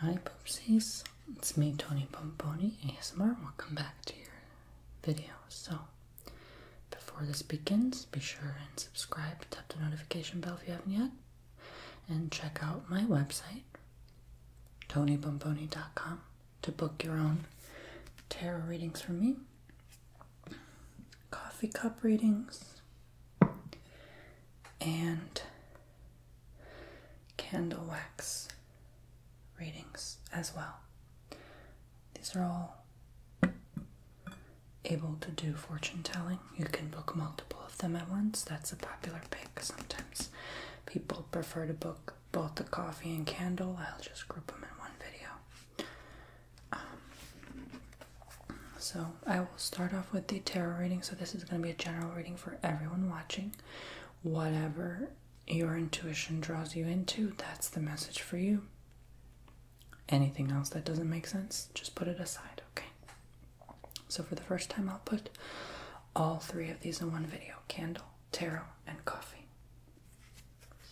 Hi Poopsies, it's me Tony Pomponi ASMR, welcome back to your video. So, before this begins, be sure and subscribe, tap the notification bell if you haven't yet, and check out my website, tonypomponi.com, to book your own tarot readings from me, coffee cup readings, and candle wax readings as well. These are all able to do fortune telling. You can book multiple of them at once. That's a popular pick. Sometimes people prefer to book both the coffee and candle. I'll just group them in one video. Um, so, I will start off with the tarot reading. So, this is going to be a general reading for everyone watching. Whatever your intuition draws you into, that's the message for you. Anything else that doesn't make sense, just put it aside, okay? So, for the first time, I'll put all three of these in one video candle, tarot, and coffee.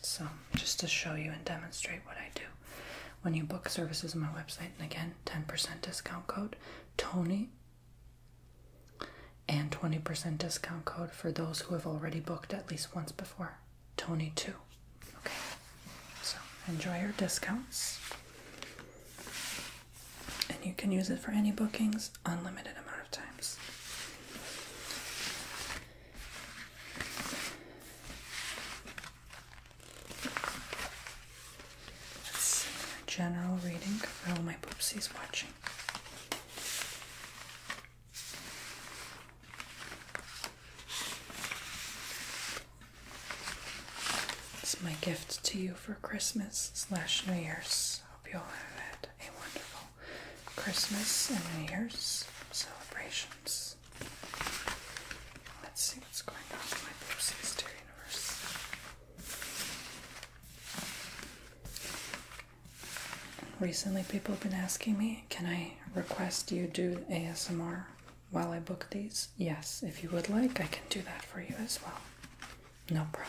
So, just to show you and demonstrate what I do when you book services on my website. And again, 10% discount code Tony and 20% discount code for those who have already booked at least once before Tony2. Okay, so enjoy your discounts. And you can use it for any bookings, unlimited amount of times. Let's see general reading. Oh, my poopsie's watching. It's my gift to you for Christmas slash New Year's. Hope you all have a wonderful Christmas and New Year's celebrations. Let's see what's going on with my poopsies today. Recently, people have been asking me, can I request you do ASMR while I book these? Yes, if you would like, I can do that for you as well. No problem.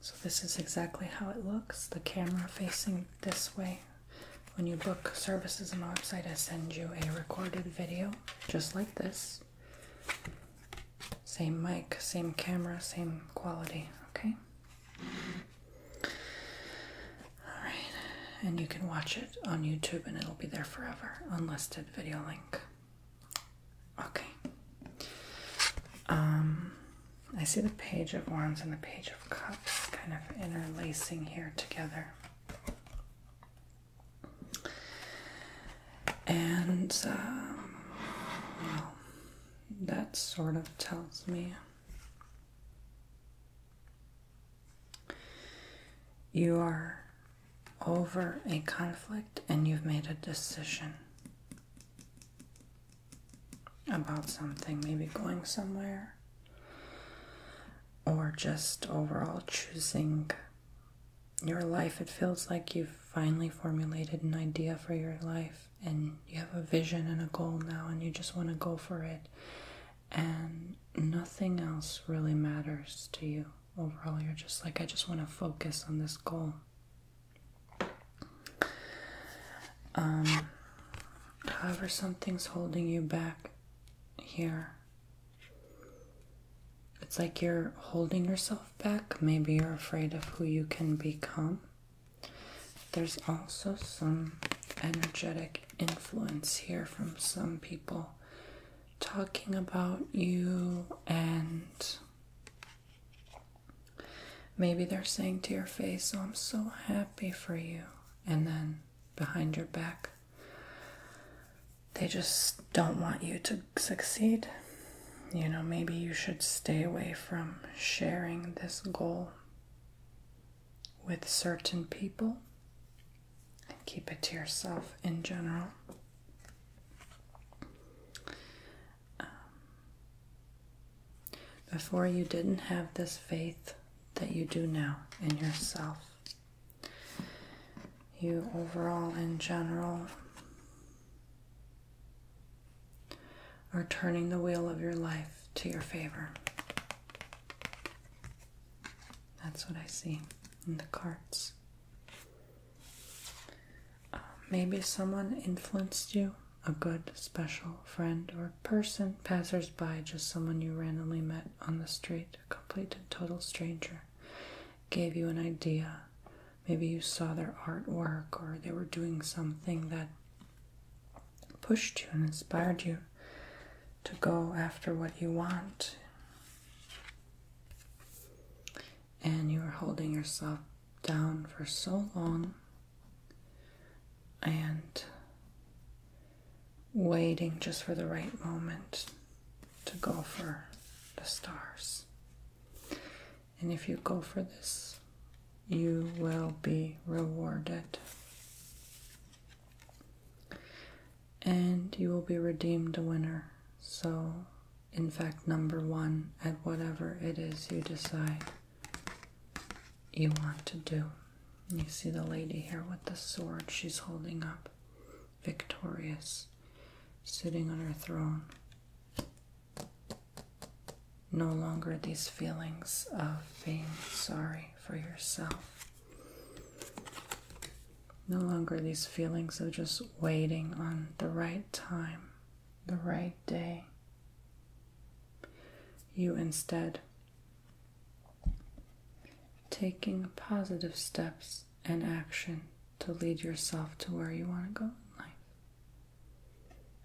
So, this is exactly how it looks the camera facing this way. When you book services on the website, I send you a recorded video just like this. Same mic, same camera, same quality, okay? Alright, and you can watch it on YouTube and it'll be there forever. Unlisted video link. Okay. Um, I see the Page of Wands and the Page of Cups kind of interlacing here together. And, um, well, that sort of tells me you are over a conflict and you've made a decision about something, maybe going somewhere, or just overall choosing your life. It feels like you've finally formulated an idea for your life and you have a vision and a goal now, and you just want to go for it and nothing else really matters to you overall. You're just like, I just want to focus on this goal. Um, however, something's holding you back here. It's like you're holding yourself back. Maybe you're afraid of who you can become. There's also some energetic influence here from some people talking about you, and maybe they're saying to your face, Oh, I'm so happy for you, and then behind your back, they just don't want you to succeed. You know, maybe you should stay away from sharing this goal with certain people and keep it to yourself in general. Um, before, you didn't have this faith that you do now in yourself. You overall, in general, are turning the wheel of your life to your favor. That's what I see in the cards. Uh, maybe someone influenced you, a good, special friend or person, passersby, just someone you randomly met on the street, a complete and total stranger, gave you an idea. Maybe you saw their artwork or they were doing something that pushed you and inspired you to go after what you want. And you are holding yourself down for so long and waiting just for the right moment to go for the stars. And if you go for this, you will be rewarded and you will be redeemed a winner. So, in fact, number one at whatever it is you decide you want to do. You see the lady here with the sword she's holding up, victorious, sitting on her throne. No longer these feelings of being sorry for yourself no longer these feelings of just waiting on the right time, the right day. You instead taking positive steps and action to lead yourself to where you want to go in life.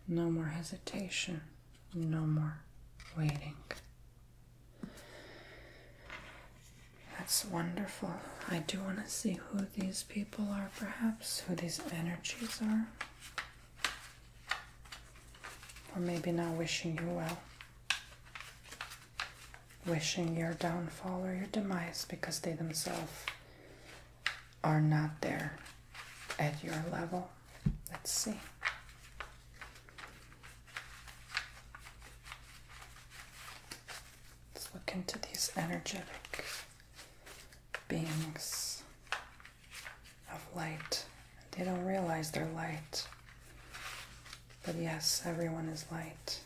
No more hesitation, no more waiting. That's wonderful. I do want to see who these people are, perhaps, who these energies are. Or maybe not wishing you well. Wishing your downfall or your demise because they themselves are not there at your level. Let's see. Let's look into these energetic beings of light. They don't realize they're light. But yes, everyone is light.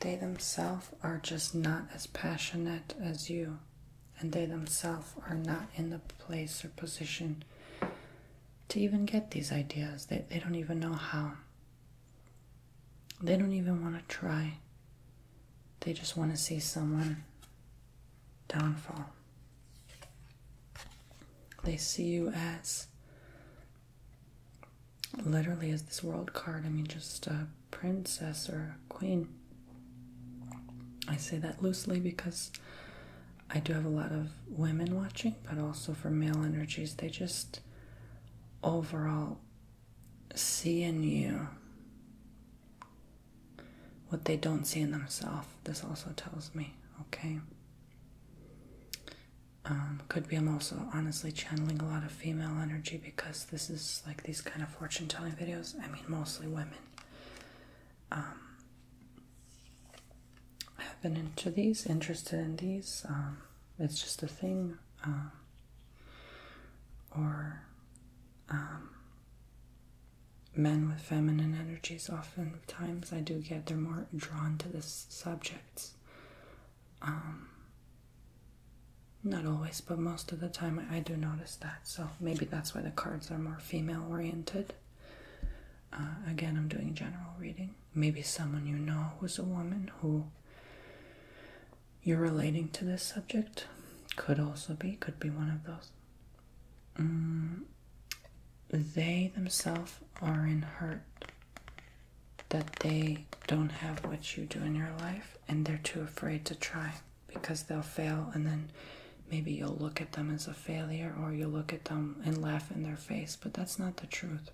They themselves are just not as passionate as you, and they themselves are not in the place or position to even get these ideas. They, they don't even know how. They don't even want to try. They just want to see someone downfall. They see you as literally is this world card. I mean, just a princess or a queen. I say that loosely because I do have a lot of women watching, but also for male energies, they just overall see in you what they don't see in themselves. This also tells me, okay? Um, could be I'm also honestly channeling a lot of female energy because this is like these kind of fortune telling videos. I mean, mostly women. Um, I've been into these, interested in these. Um, it's just a thing. Um, or men with feminine energies. Often times, I do get they're more drawn to this subjects. Um, not always, but most of the time I do notice that. So maybe that's why the cards are more female oriented. Uh, again, I'm doing general reading. Maybe someone you know who's a woman who you're relating to this subject could also be, could be one of those. Mm, they themselves are in hurt that they don't have what you do in your life and they're too afraid to try because they'll fail and then maybe you'll look at them as a failure or you'll look at them and laugh in their face but that's not the truth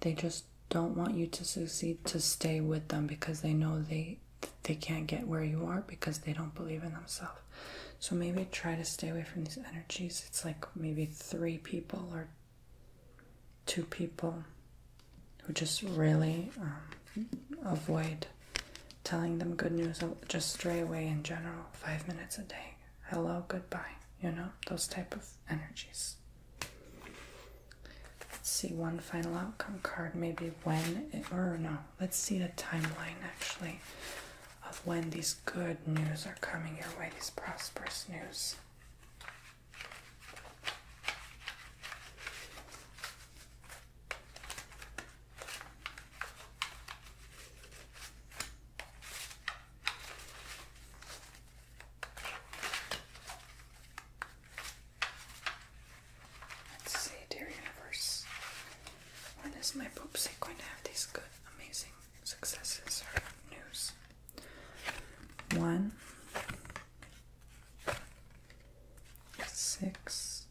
they just don't want you to succeed to stay with them because they know they they can't get where you are because they don't believe in themselves so maybe try to stay away from these energies it's like maybe three people or Two people who just really um, avoid telling them good news, just stray away in general. Five minutes a day, hello, goodbye, you know, those type of energies. see one final outcome card, maybe when, or no, let's see the timeline actually of when these good news are coming your way, these prosperous news. Let's see, dear universe. When is my poopsie going to have these good, amazing successes or news? one, six,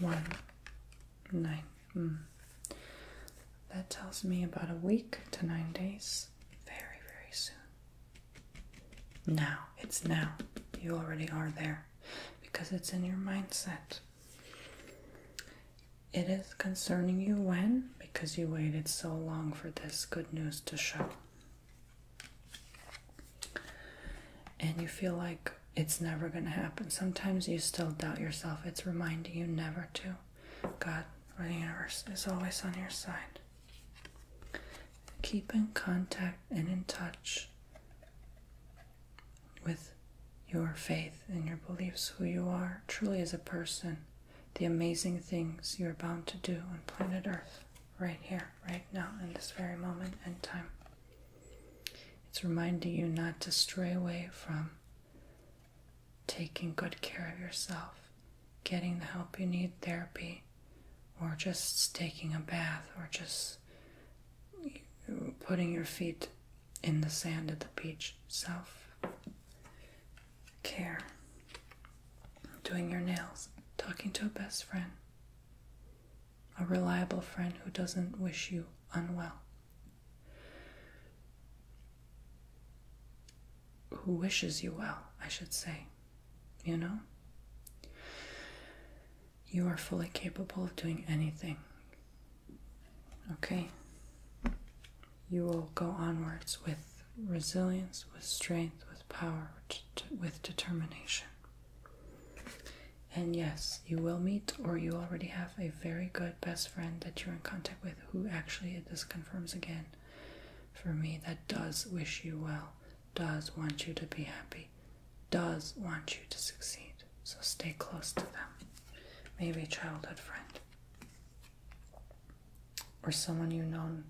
one, nine. Mm. That tells me about a week to nine days. Very, very soon. Now, it's now. You already are there because it's in your mindset. It is concerning you when? Because you waited so long for this good news to show. And you feel like it's never going to happen. Sometimes you still doubt yourself. It's reminding you never to. God or the universe is always on your side. Keep in contact and in touch with your faith and your beliefs, who you are truly as a person, the amazing things you are bound to do on planet Earth, right here, right now, in this very moment and time. It's reminding you not to stray away from taking good care of yourself, getting the help you need, therapy, or just taking a bath, or just putting your feet in the sand at the beach. Self care. Doing your nails. Talking to a best friend. A reliable friend who doesn't wish you unwell. Who wishes you well, I should say. You know? You are fully capable of doing anything Okay. You will go onwards with resilience, with strength, with power, with determination. And yes, you will meet or you already have a very good best friend that you're in contact with who actually, this confirms again for me, that does wish you well, does want you to be happy, does want you to succeed. So stay close to them. Maybe childhood friend or someone you've known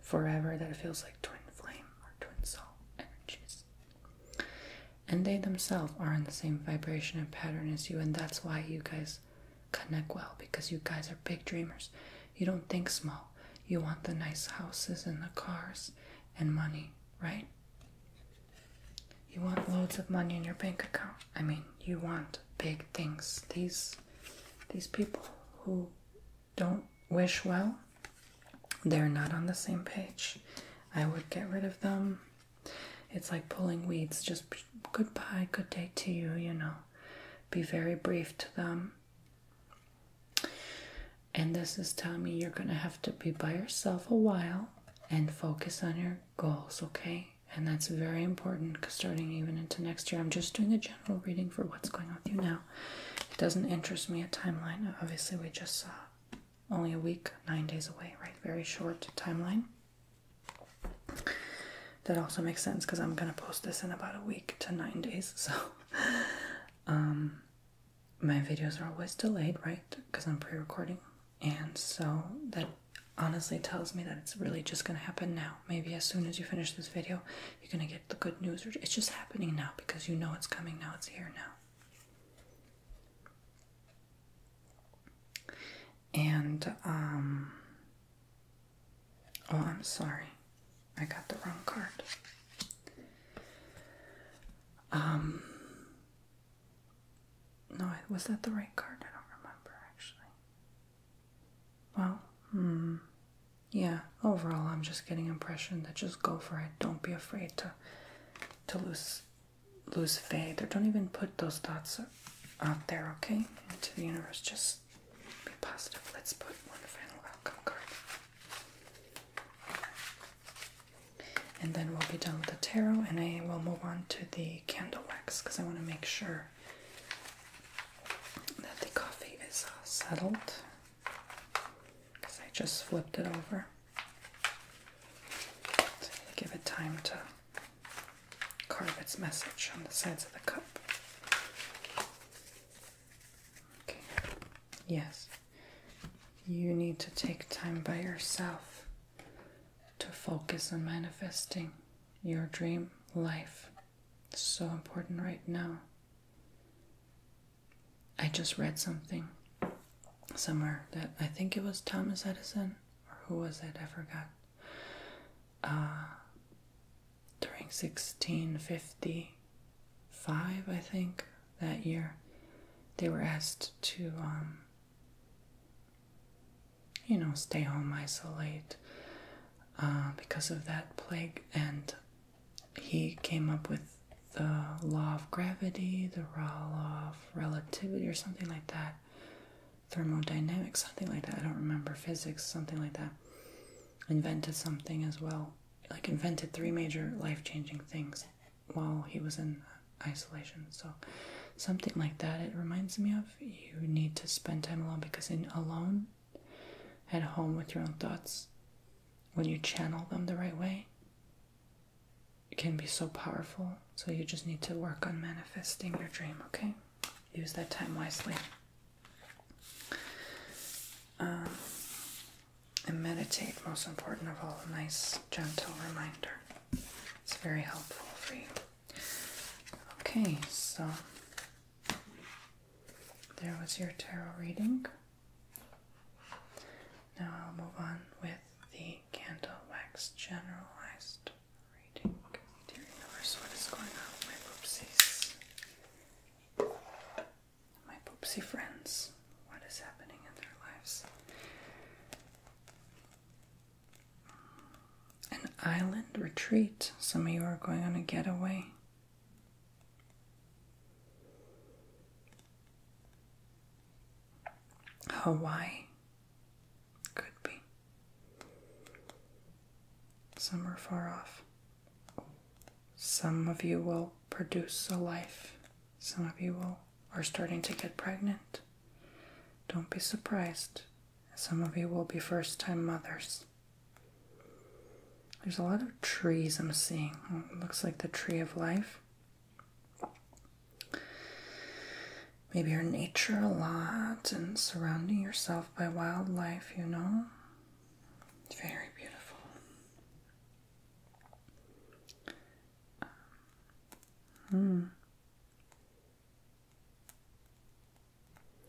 forever that feels like twin flame or twin soul energies. And they themselves are in the same vibration and pattern as you, and that's why you guys connect well because you guys are big dreamers. You don't think small. You want the nice houses and the cars and money, right? You want loads of money in your bank account. I mean, you want big things. These these people who don't wish well, they're not on the same page. I would get rid of them. It's like pulling weeds. Just goodbye, good day to you, you know. Be very brief to them. And this is telling me you're going to have to be by yourself a while and focus on your goals, okay? And that's very important because starting even into next year, I'm just doing a general reading for what's going on with you now. It doesn't interest me a timeline. Obviously, we just saw only a week, nine days away, right? Very short timeline. That also makes sense because I'm going to post this in about a week to nine days. So, um, my videos are always delayed, right? Because I'm pre recording and so that honestly tells me that it's really just gonna happen now. Maybe as soon as you finish this video, you're gonna get the good news. It's just happening now because you know it's coming now, it's here now. And, um, oh, I'm sorry, I got the wrong card. Um, no, was that the right card? I don't remember actually. Well, hmm. Yeah, overall I'm just getting impression that just go for it. Don't be afraid to to lose lose faith or don't even put those thoughts out there, okay? Into the universe. Just be positive. Let's put one final outcome card and then we'll be done with the tarot and I will move on to the candle wax because I want to make sure that the coffee is uh, settled because I just flipped it over. give it time to carve its message on the sides of the cup. Okay. Yes. You need to take time by yourself to focus on manifesting your dream life. It's so important right now. I just read something somewhere that I think it was Thomas Edison or who was it? I forgot. Uh, during 1655, I think, that year, they were asked to um, you know, stay home, isolate uh, because of that plague. And he came up with the law of gravity, the law of relativity, or something like that, thermodynamics, something like that. I don't remember physics, something like that. Invented something as well, like, invented three major life changing things while he was in isolation. So, something like that, it reminds me of you need to spend time alone because, in alone, at home with your own thoughts, when you channel them the right way, it can be so powerful. So, you just need to work on manifesting your dream, okay? Use that time wisely. Uh, and meditate, most important of all, a nice, gentle reminder. It's very helpful for you. Okay, so there was your tarot reading. Now I'll move on with the candle wax generalized reading. Dear universe, what is going on with my poopsies? My poopsie friends, what is happening in their lives? An island retreat. Some of you are going on a getaway. Hawaii could be. Some are far off. Some of you will produce a life. Some of you will are starting to get pregnant. Don't be surprised, some of you will be first time mothers. There's a lot of trees I'm seeing. looks like the tree of life. Maybe you nature a lot and surrounding yourself by wildlife, you know? It's very beautiful. Hmm.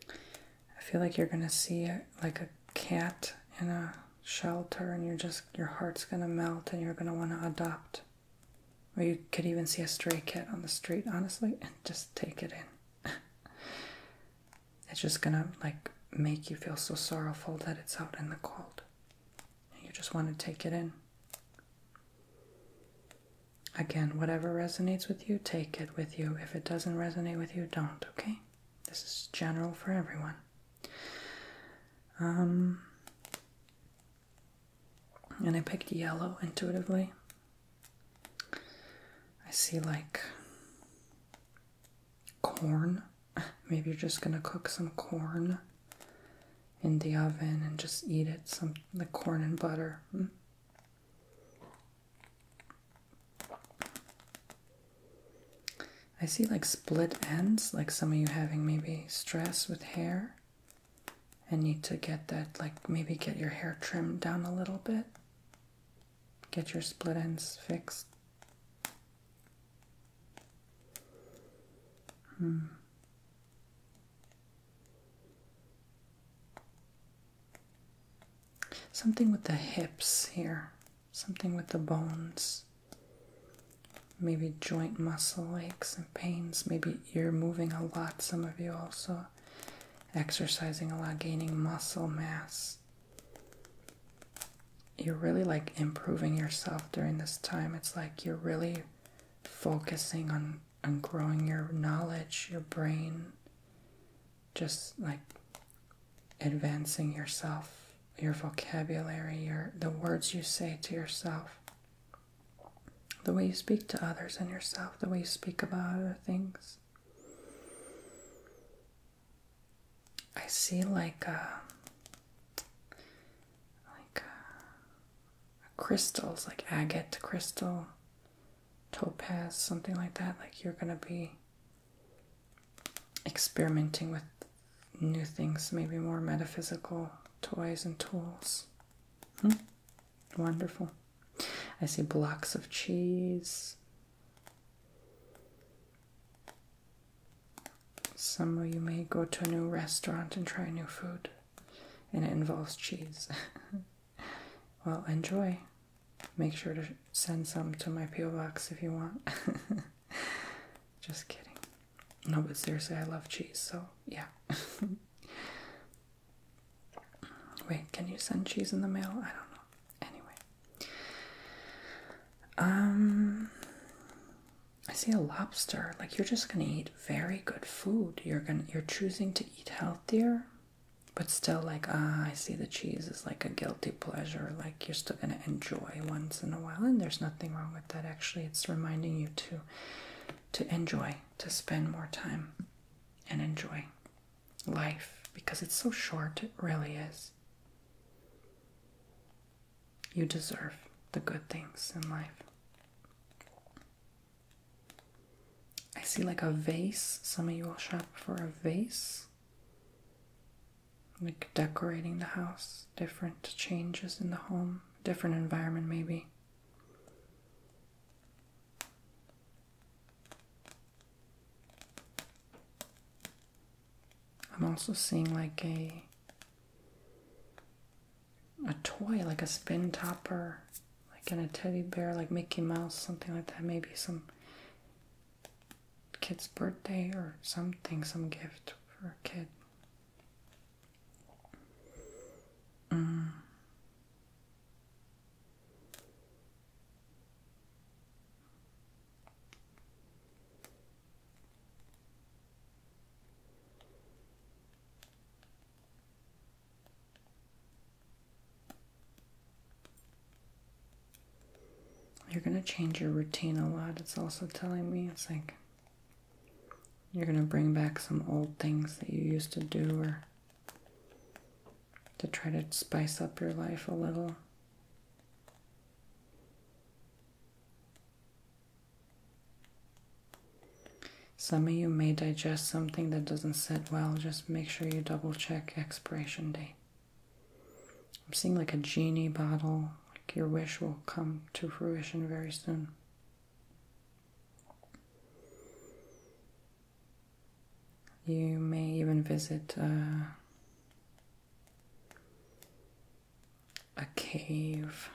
I feel like you're gonna see like a cat in a shelter, and you're just your heart's gonna melt, and you're gonna want to adopt. Or you could even see a stray cat on the street, honestly, and just take it in. it's just gonna like make you feel so sorrowful that it's out in the cold. And you just want to take it in. Again, whatever resonates with you, take it with you. If it doesn't resonate with you, don't, okay? This is general for everyone. Um, and I picked yellow intuitively. I see like corn. Maybe you're just gonna cook some corn in the oven and just eat it some the corn and butter. Mm. I see like split ends, like some of you having maybe stress with hair and need to get that, like maybe get your hair trimmed down a little bit, get your split ends fixed. Hmm. Something with the hips here, something with the bones, maybe joint muscle aches and pains. Maybe you're moving a lot, some of you also exercising a lot, gaining muscle mass. You're really like improving yourself during this time. It's like you're really focusing on on growing your knowledge, your brain, just like advancing yourself, your vocabulary, your the words you say to yourself, the way you speak to others and yourself, the way you speak about other things. I see like a uh, like uh, crystals like agate crystal, topaz, something like that, like you're going to be experimenting with new things, maybe more metaphysical toys and tools. Hmm? Wonderful. I see blocks of cheese. Somewhere you may go to a new restaurant and try new food and it involves cheese. well, enjoy. Make sure to send some to my P.O. box if you want. Just kidding. No, but seriously, I love cheese, so yeah. Wait, can you send cheese in the mail? I don't know. Anyway. Um I see a lobster. Like you're just gonna eat very good food. You're gonna you're choosing to eat healthier, but still like ah, I see the cheese is like a guilty pleasure. Like you're still gonna enjoy once in a while, and there's nothing wrong with that. Actually, it's reminding you to to enjoy, to spend more time and enjoy life because it's so short. It really is. You deserve the good things in life. I see like a vase. Some of you will shop for a vase. Like decorating the house, different changes in the home, different environment, maybe. I'm also seeing like a a toy like a spin topper, like in a teddy bear, like Mickey Mouse, something like that. Maybe some kid's birthday or something, some gift for a kid. Mm. You're going to change your routine a lot. It's also telling me it's like you're going to bring back some old things that you used to do or to try to spice up your life a little. Some of you may digest something that doesn't sit well. Just make sure you double check expiration date. I'm seeing like a genie bottle. Like your wish will come to fruition very soon. You may even visit uh, a cave.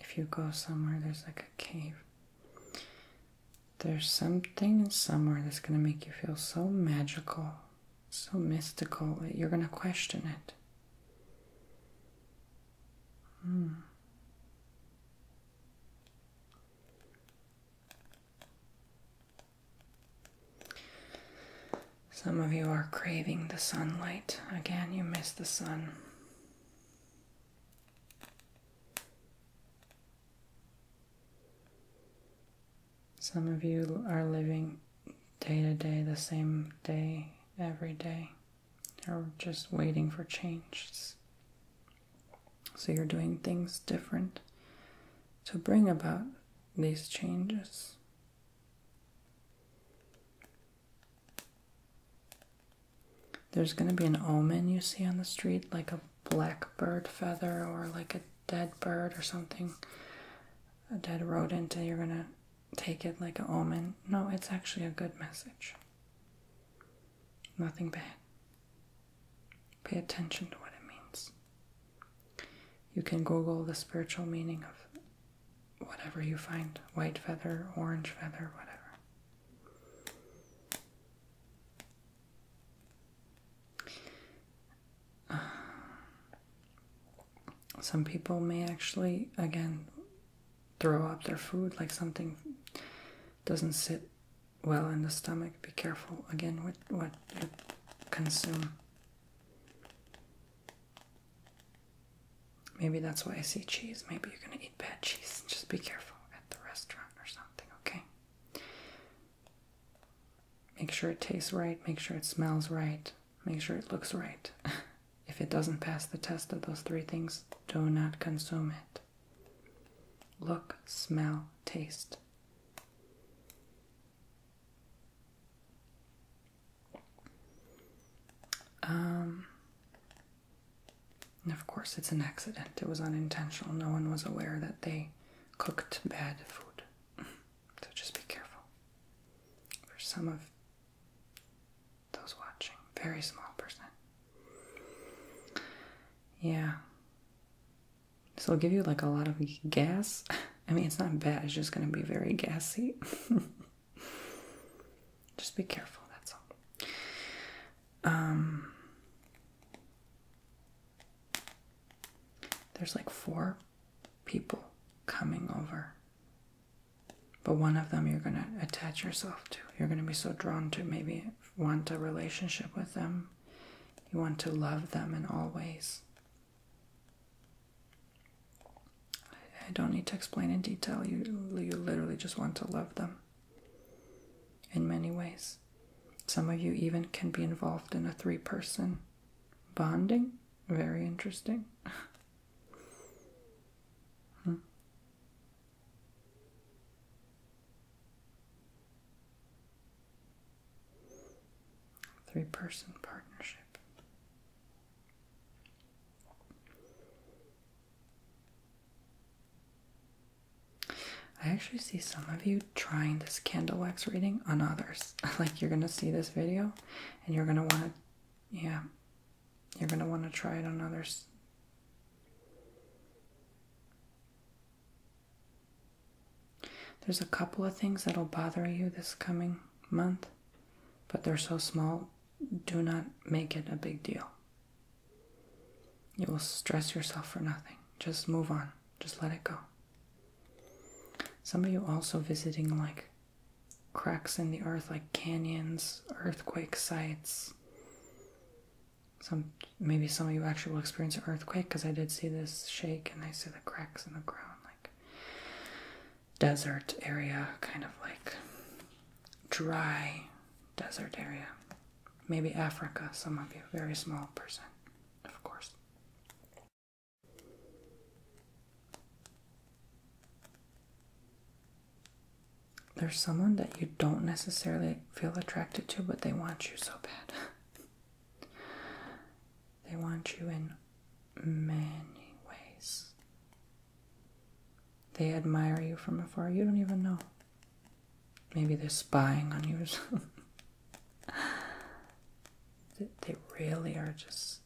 If you go somewhere, there's like a cave. There's something somewhere that's going to make you feel so magical, so mystical that you're going to question it. Hmm. Some of you are craving the sunlight. Again, you miss the sun. Some of you are living day to day, the same day, every day, or just waiting for changes. So you're doing things different to bring about these changes. There's going to be an omen you see on the street, like a blackbird feather or like a dead bird or something, a dead rodent, and you're going to take it like an omen. No, it's actually a good message. Nothing bad. Pay attention to what it means. You can Google the spiritual meaning of whatever you find white feather, orange feather, whatever. Uh, some people may actually, again, throw up their food like something doesn't sit well in the stomach. Be careful again with what you consume. Maybe that's why I see cheese. Maybe you're gonna eat bad cheese. Just be careful at the restaurant or something, okay? Make sure it tastes right, make sure it smells right, make sure it looks right. if it doesn't pass the test of those three things, do not consume it. Look, smell, taste. Um, of course, it's an accident. It was unintentional. No one was aware that they cooked bad food. so just be careful. For some of those watching, very small percent. Yeah. So it'll give you like a lot of gas. I mean, it's not bad, it's just going to be very gassy. just be careful, that's all. Um, there's like four people coming over, but one of them you're going to attach yourself to. You're going to be so drawn to maybe want a relationship with them, you want to love them in all ways. I, don't need to explain in detail. You, you literally just want to love them in many ways. Some of you even can be involved in a three person bonding. Very interesting. Hmm. Three person partnership. I actually see some of you trying this candle wax reading on others. like you're gonna see this video and you're gonna wanna yeah. You're gonna wanna try it on others. There's a couple of things that'll bother you this coming month but they're so small, do not make it a big deal. You will stress yourself for nothing. Just move on, just let it go. Some of you also visiting like cracks in the earth, like canyons, earthquake sites. Some maybe some of you actually will experience an earthquake because I did see this shake and I see the cracks in the ground. Like desert area, kind of like dry desert area. Maybe Africa, some of you. Very small person, of course. There's someone that you don't necessarily feel attracted to, but they want you so bad. They want you in many ways. They admire you from afar. You don't even know. Maybe they're spying on you. they really are just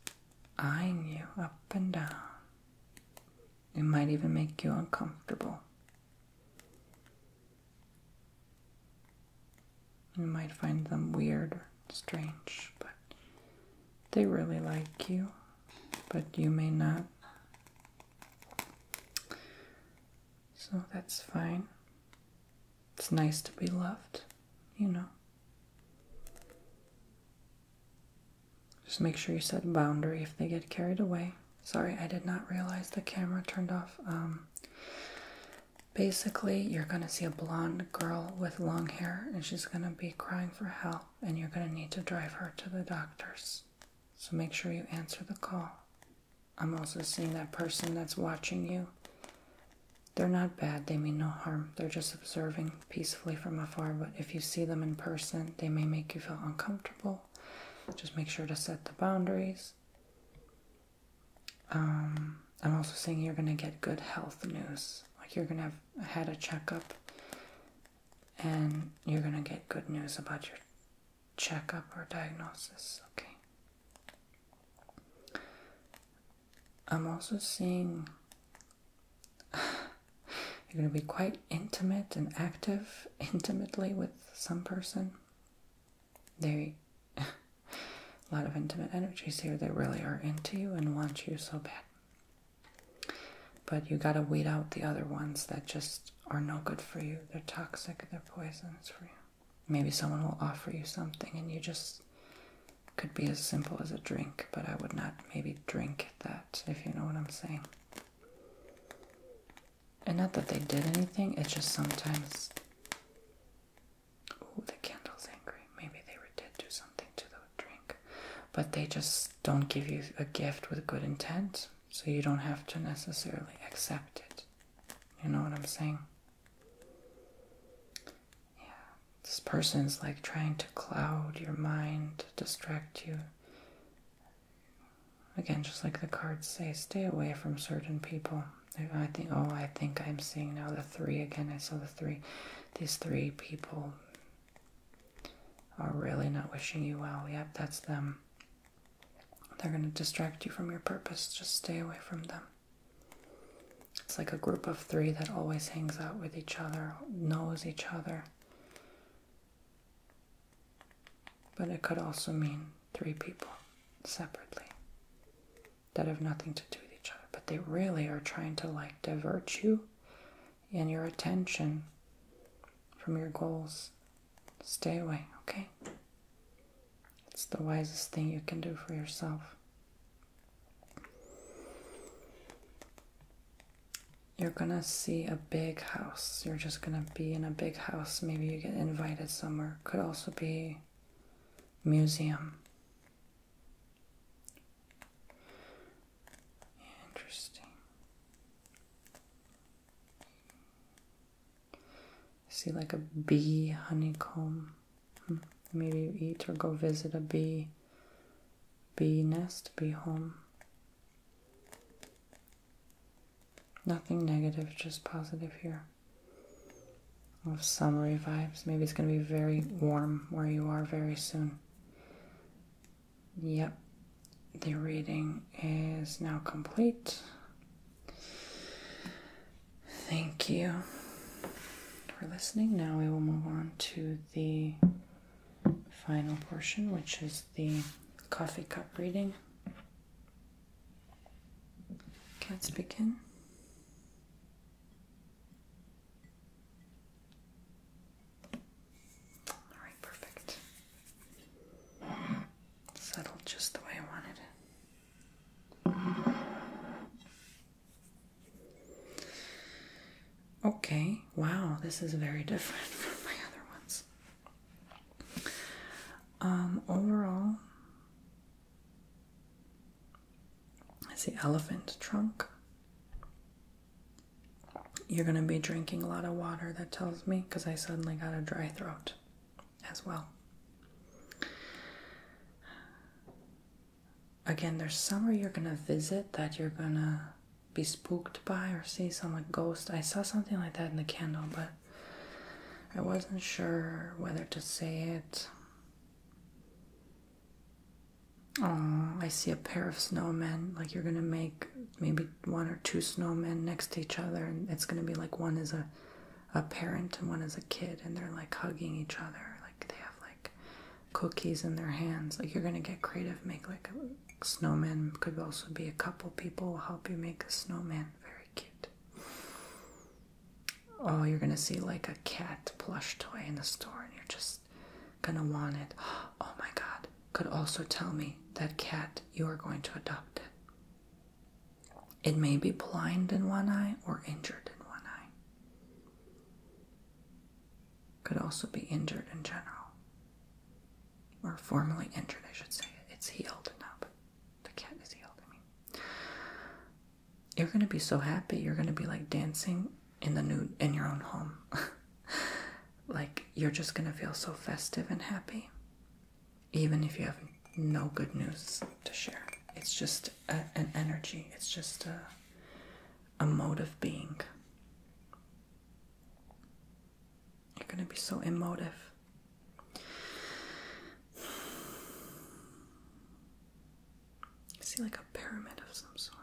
eyeing you up and down. It might even make you uncomfortable. You might find them weird or strange, but they really like you, but you may not. So that's fine. It's nice to be loved, you know. Just make sure you set boundary if they get carried away. Sorry, I did not realize the camera turned off. Um, Basically, you're going to see a blonde girl with long hair and she's going to be crying for help, and you're going to need to drive her to the doctors. So make sure you answer the call. I'm also seeing that person that's watching you. They're not bad, they mean no harm. They're just observing peacefully from afar, but if you see them in person, they may make you feel uncomfortable. Just make sure to set the boundaries. Um, I'm also saying you're gonna get good health news. Like you're gonna have had a checkup, and you're gonna get good news about your checkup or diagnosis. Okay. I'm also seeing you're gonna be quite intimate and active, intimately with some person. They A lot of intimate energies here that really are into you and want you so bad. But you gotta weed out the other ones that just are no good for you. They're toxic, they're poisonous for you. Maybe someone will offer you something and you just could be as simple as a drink, but I would not maybe drink that, if you know what I'm saying. And not that they did anything, It just sometimes Ooh, the candle's angry. Maybe they were dead. do something to the drink. But they just don't give you a gift with good intent, so you don't have to necessarily accept it. You know what I'm saying? Yeah. This person's like trying to cloud your mind, distract you. Again, just like the cards say, stay away from certain people. I think, oh, I think I'm seeing now the three again. I saw the three, these three people are really not wishing you well. Yep, that's them. They're going to distract you from your purpose. Just stay away from them. It's like a group of three that always hangs out with each other, knows each other. But it could also mean three people separately that have nothing to do with each other, but they really are trying to like divert you and your attention from your goals. Stay away, okay? It's the wisest thing you can do for yourself. You're gonna see a big house. You're just gonna be in a big house. Maybe you get invited somewhere. Could also be museum. Interesting. See, like a bee honeycomb. Hmm. Maybe eat or go visit a bee, bee nest, bee home. Nothing negative, just positive here. Of summery vibes. Maybe it's going to be very warm where you are very soon. Yep, the reading is now complete. Thank you for listening. Now we will move on to the final portion, which is the coffee cup reading. can let speak in. All right, perfect. Settled just the way I wanted it. Okay, wow, this is very different from my other ones. Um, overall, it's the elephant trunk. You're going to be drinking a lot of water, that tells me, because I suddenly got a dry throat as well. Again, there's somewhere you're going to visit that you're going to be spooked by or see some ghost. I saw something like that in the candle, but I wasn't sure whether to say it. Oh, I see a pair of snowmen. Like you're gonna make maybe one or two snowmen next to each other, and it's gonna be like one is a a parent and one is a kid, and they're like hugging each other. Like they have like cookies in their hands. Like you're gonna get creative. Make like a snowman. Could also be a couple people help you make a snowman. Very cute oh, you're gonna see like a cat plush toy in the store and you're just gonna want it. Oh my god, could also tell me that cat you are going to adopt it. It may be blind in one eye or injured in one eye. Could also be injured in general. Or formerly injured, I should say. It's healed now, the cat is healed, you're gonna be so happy you're gonna be like dancing in the nude in your own home like you're just gonna feel so festive and happy even if you have no good news to share it's just an energy it's just a, a mode of being you're gonna be so emotive see like a pyramid of some sort.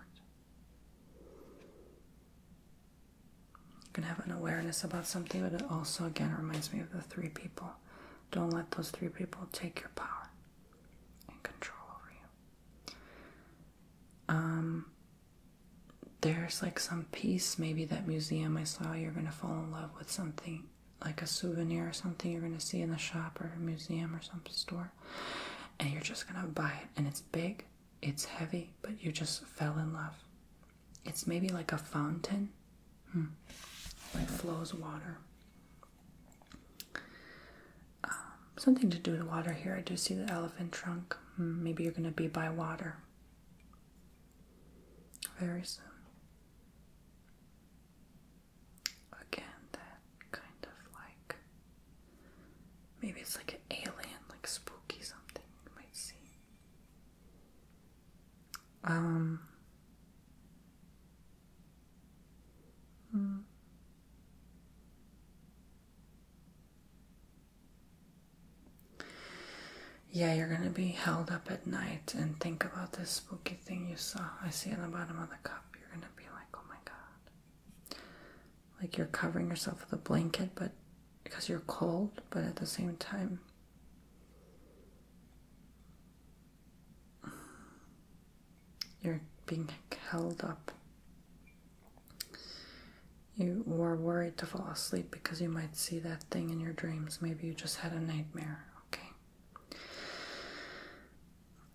You can have an awareness about something, but it also again reminds me of the three people. Don't let those three people take your power and control over you. Um, there's like some piece, maybe that museum I saw, you're gonna fall in love with something like a souvenir or something you're going to see in the shop or museum or some store and you're just going to buy it and it's big it's heavy but you just fell in love it's maybe like a fountain hmm. like flows water um, something to do with water here i do see the elephant trunk hmm, maybe you're going to be by water very soon again that kind of like maybe it's like an alien like spooky something you might see um hmm. Yeah, you're gonna be held up at night and think about this spooky thing you saw. I see on the bottom of the cup you're gonna be like, oh my god. Like you're covering yourself with a blanket, but because you're cold, but at the same time, you're being held up. You were worried to fall asleep because you might see that thing in your dreams. Maybe you just had a nightmare, okay?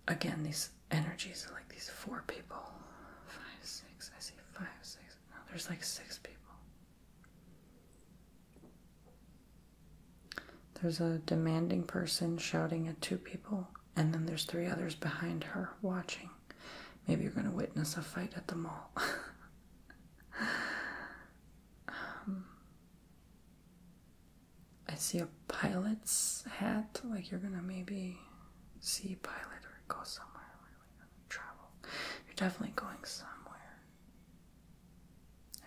again, these energies are like these four people. Five, six. I see five, six. No, there's like six people. There's a demanding person shouting at two people, and then there's three others behind her watching. Maybe you're going to witness a fight at the mall. Um, I see a pilot's hat, like you're gonna maybe see a pilot or go somewhere travel. You're definitely going somewhere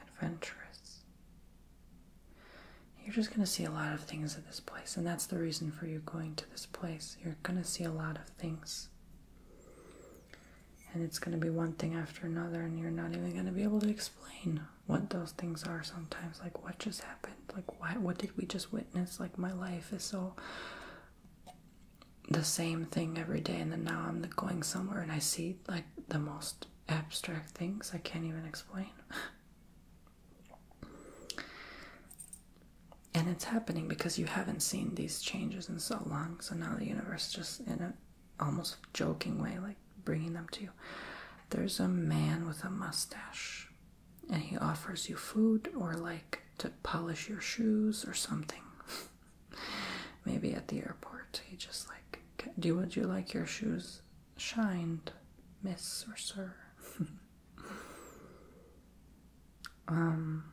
adventurous. You're just gonna see a lot of things at this place, and that's the reason for you going to this place. You're gonna see a lot of things. And it's gonna be one thing after another, and you're not even gonna be able to explain what those things are sometimes like what just happened like why what did we just witness like my life is so the same thing every day and then now i'm going somewhere and i see like the most abstract things i can't even explain and it's happening because you haven't seen these changes in so long so now the universe just in a almost joking way, like bringing them to you. There's a man with a mustache, and he offers you food or like to polish your shoes or something. Maybe at the airport, he just like, do you, would you like your shoes shined, miss or sir? um,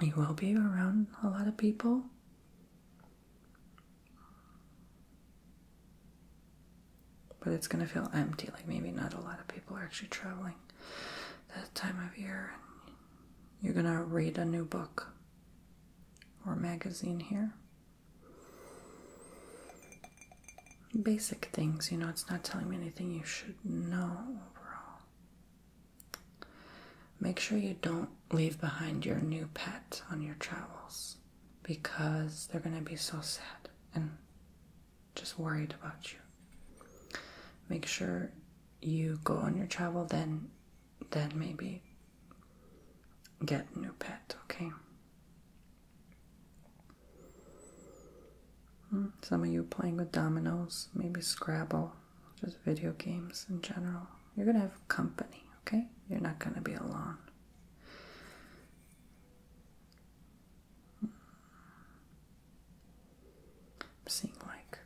you will be around a lot of people. But it's going to feel empty, like maybe not a lot of people are actually traveling that time of year. You're going to read a new book or magazine here. Basic things, you know, it's not telling me anything you should know overall. Make sure you don't leave behind your new pet on your travels because they're going to be so sad and just worried about you. Make sure you go on your travel, then, then maybe get a new pet, okay? Hmm, some of you playing with dominoes, maybe Scrabble, just video games in general. You're gonna have company, okay? You're not gonna be alone seeing like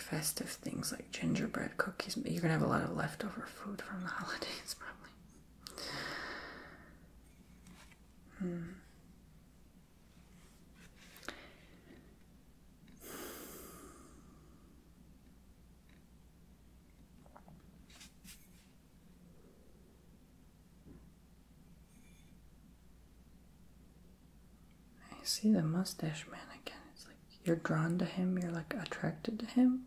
festive things like gingerbread cookies. you're gonna have a lot of leftover food from the holidays, probably. Hmm. I see the mustache man again. It's like you're drawn to him, you're like attracted to him.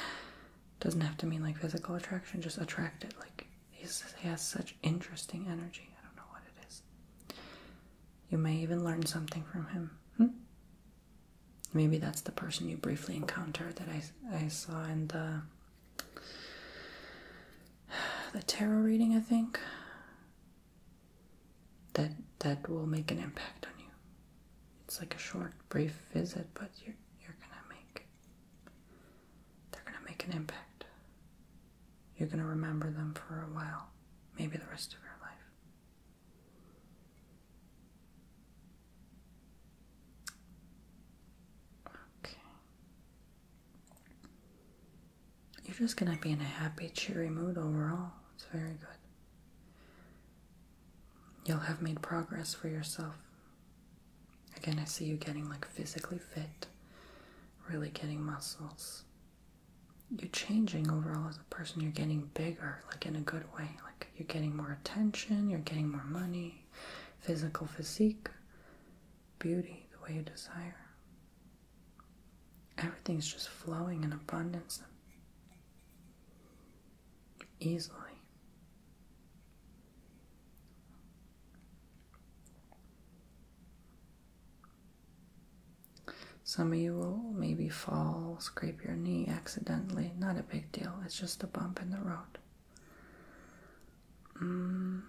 Doesn't have to mean like physical attraction, just attracted. Like he has such interesting energy. I don't know what it is. You may even learn something from him. Hmm? Maybe that's the person you briefly encounter that I, I saw in the the tarot reading, I think. That that will make an impact on you. It's like a short, brief visit, but you're you're gonna make they're gonna make an impact. You're gonna remember them for a while, maybe the rest of your life. Okay. You're just gonna be in a happy, cheery mood overall. It's very good. You'll have made progress for yourself. Again, I see you getting like physically fit, really getting muscles. You're changing overall as a person, you're getting bigger, like in a good way. Like you're getting more attention, you're getting more money, physical physique, beauty, the way you desire. Everything's just flowing in abundance easily. Some of you will maybe fall, scrape your knee accidentally, not a big deal, it's just a bump in the road. Mm,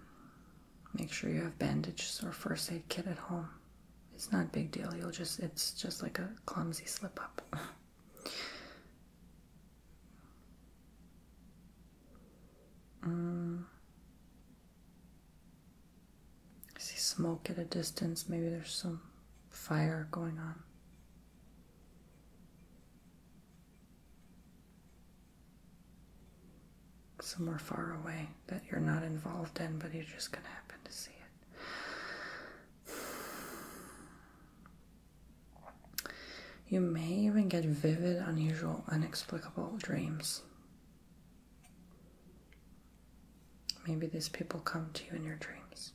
make sure you have bandages or first aid kit at home. It's not big deal, you'll just it's just like a clumsy slip up. Mm. see smoke at a distance, maybe there's some fire going on somewhere far away that you're not involved in, but you're just going to happen to see it. You may even get vivid, unusual, inexplicable dreams. Maybe these people come to you in your dreams.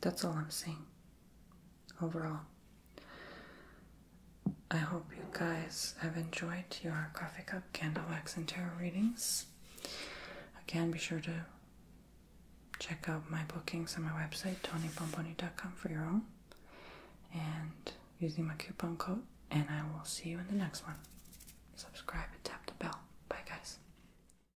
That's all I'm saying. Overall, I hope you guys have enjoyed your coffee cup, candle wax, and tarot readings. Again, be sure to check out my bookings on my website, tonypomponi.com, for your own. And using my coupon code, and I will see you in the next one. Subscribe and tap the bell. Bye, guys.